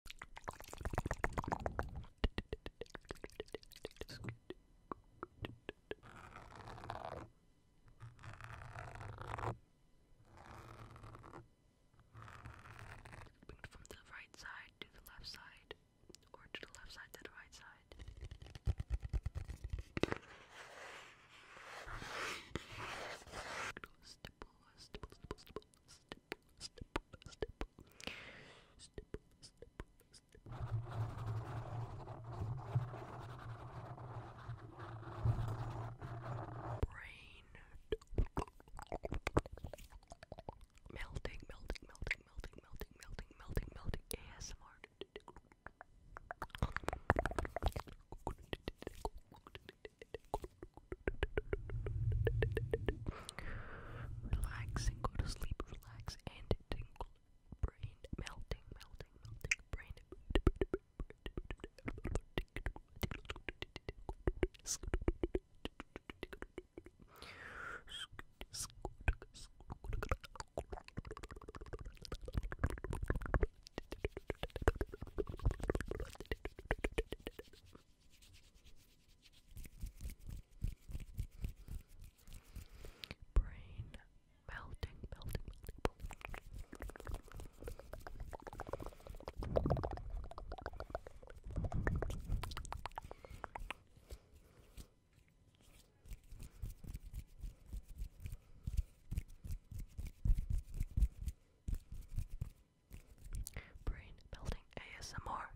Bring it from the right side to the left side, or to the left side to the right side. Stipple, stipple, stipple, stipple, stipple, stipple, step, step, step, step. Brain melting, melting, melting, melting, melting, melting, melting, melting. ASMR. Relax and go to sleep. Relax and tingle. Brain melting, melting, melting. Brain. Brain melting, melting, melting. Brain building ASMR.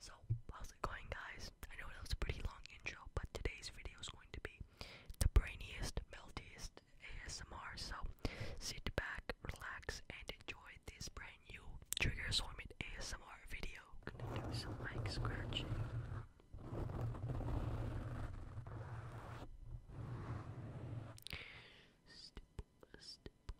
So, how's it going, guys? I know that was a pretty long intro, but today's video is going to be the brainiest, meltiest ASMR. So, sit back, relax, and enjoy this brand new trigger assortment ASMR video. gonna do some mic scratching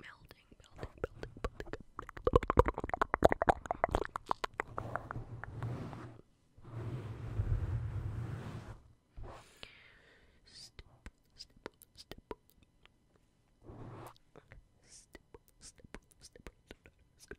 melting, melting, melting, melting. Step, step, step, step, step, step, step, step, step. Step,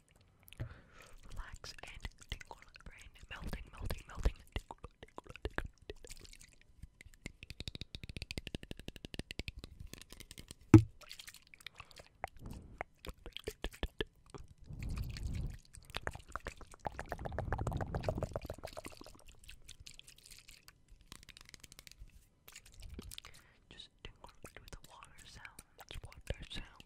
Relax and Melting, melting, melting. Just tingle with the water sounds, water sounds.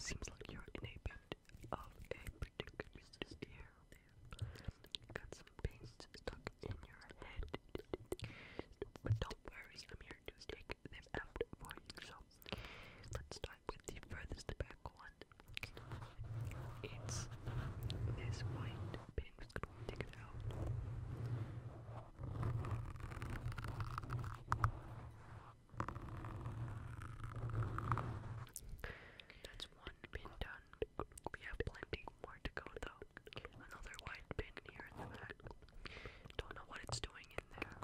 Seems like you're in of a predicament here. you got some pains stuck in your head. But don't worry, I'm here to take them out for you. So let's start with the furthest back one. It's this white pin. gonna take it out. That's one bin done. We have plenty more to go though. Another white bin here in the back. Don't know what it's doing in there.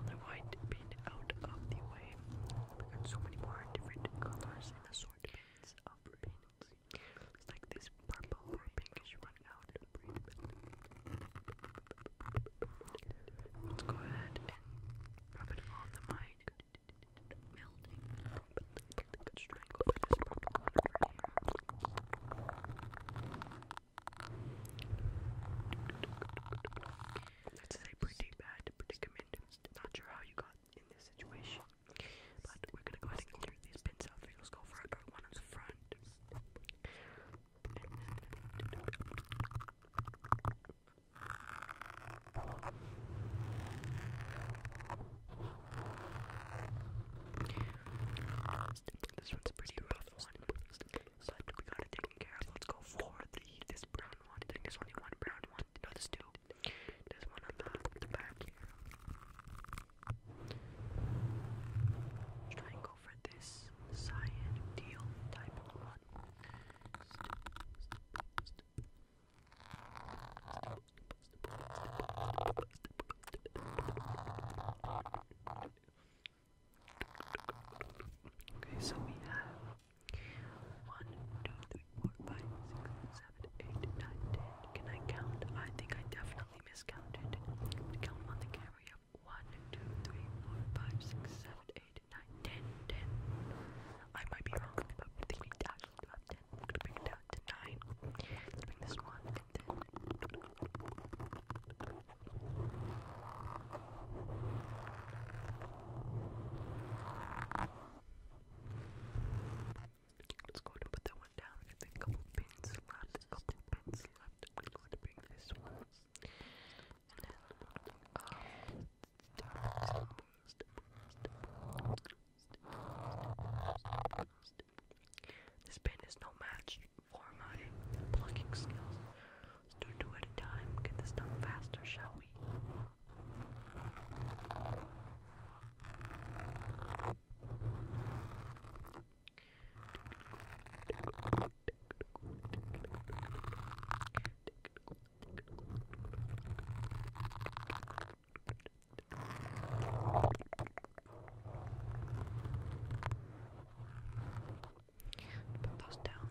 Another white bin out of the way. We got so many more different colors it's like this purple or pinkish one now that breathe. Let's go ahead and rub it on the mic. Melting. Good strangle for this one. That's a pretty bad predicament. Not sure how you got in this situation. But we're gonna go ahead and clear these pins out. Let's go for our one on the front. This one's pretty rough one, but we got it taken care of. Let's go for the this brown one. I think there's one brown one. No, two. There's one on the, back here. Try for this cyan deal type one. Okay, so we have one, two, three, four, five, six, seven, eight, nine, ten. Can I count? I think I definitely miscounted. Count on the camera. Yep. One, two, three, four, five, six, seven, eight, nine, ten, ten. I might be wrong, but I think we actually do have ten. I'm gonna bring it down to nine. Let's bring this one and then. Let's go to put that one down. I a couple pins left. A couple pins left. We're going to bring this one. This pin is no match for my plucking skills. Let's do two a time. Get this done faster, shall we? Put those down.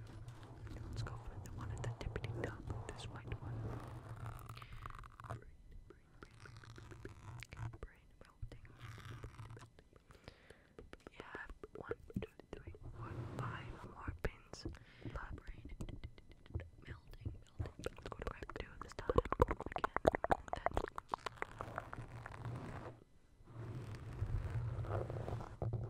Let's go for the one at the tippity top, this white one brain, brain, brain, brain, brain melting, brain melting. We have one, two, three, four, five more pins. But brain melting, melting. Let's go to wave two this time. Again.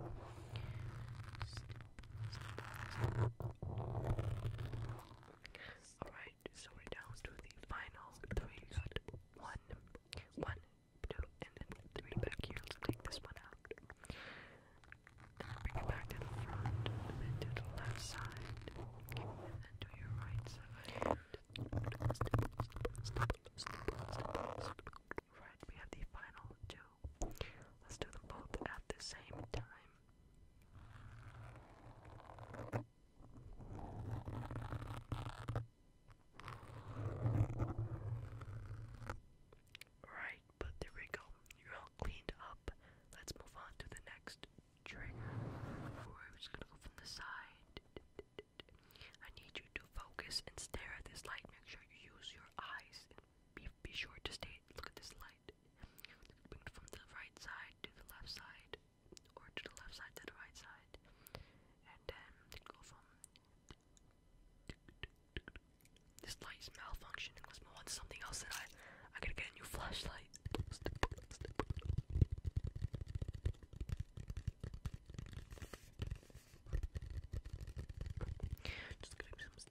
Then. Alright, so we're down to the final three. We got one, one, two, and then three back here. take this one out. bring it back to the front, to the left side, and then to your right side. Right, we have the final two. Let's do them both at the same time. Alright, but there we go. You're all cleaned up. Let's move on to the next trigger. We're gonna go from the side. I need you to focus and stare at this light. Make sure you use your eyes be sure to stay. Look at this light. Moved from the right side to the left side, or to the left side to the right side, and then go from. This light is malfunctioning. Let's move on to something else. That I, I gotta get a new flashlight. Just gonna some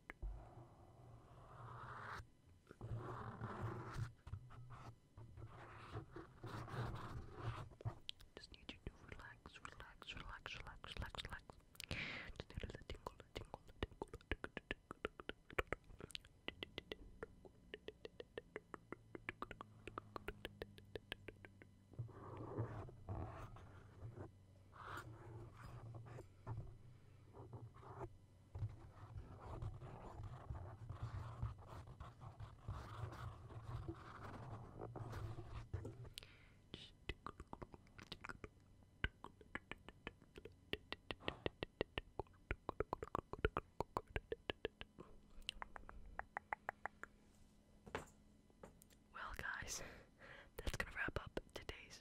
Just need you to relax, relax, relax, relax, relax, relax. Just need a tingle, a tingle, a tingle, a tingle, a tingle, a tingle. Well, guys, that's gonna wrap up today's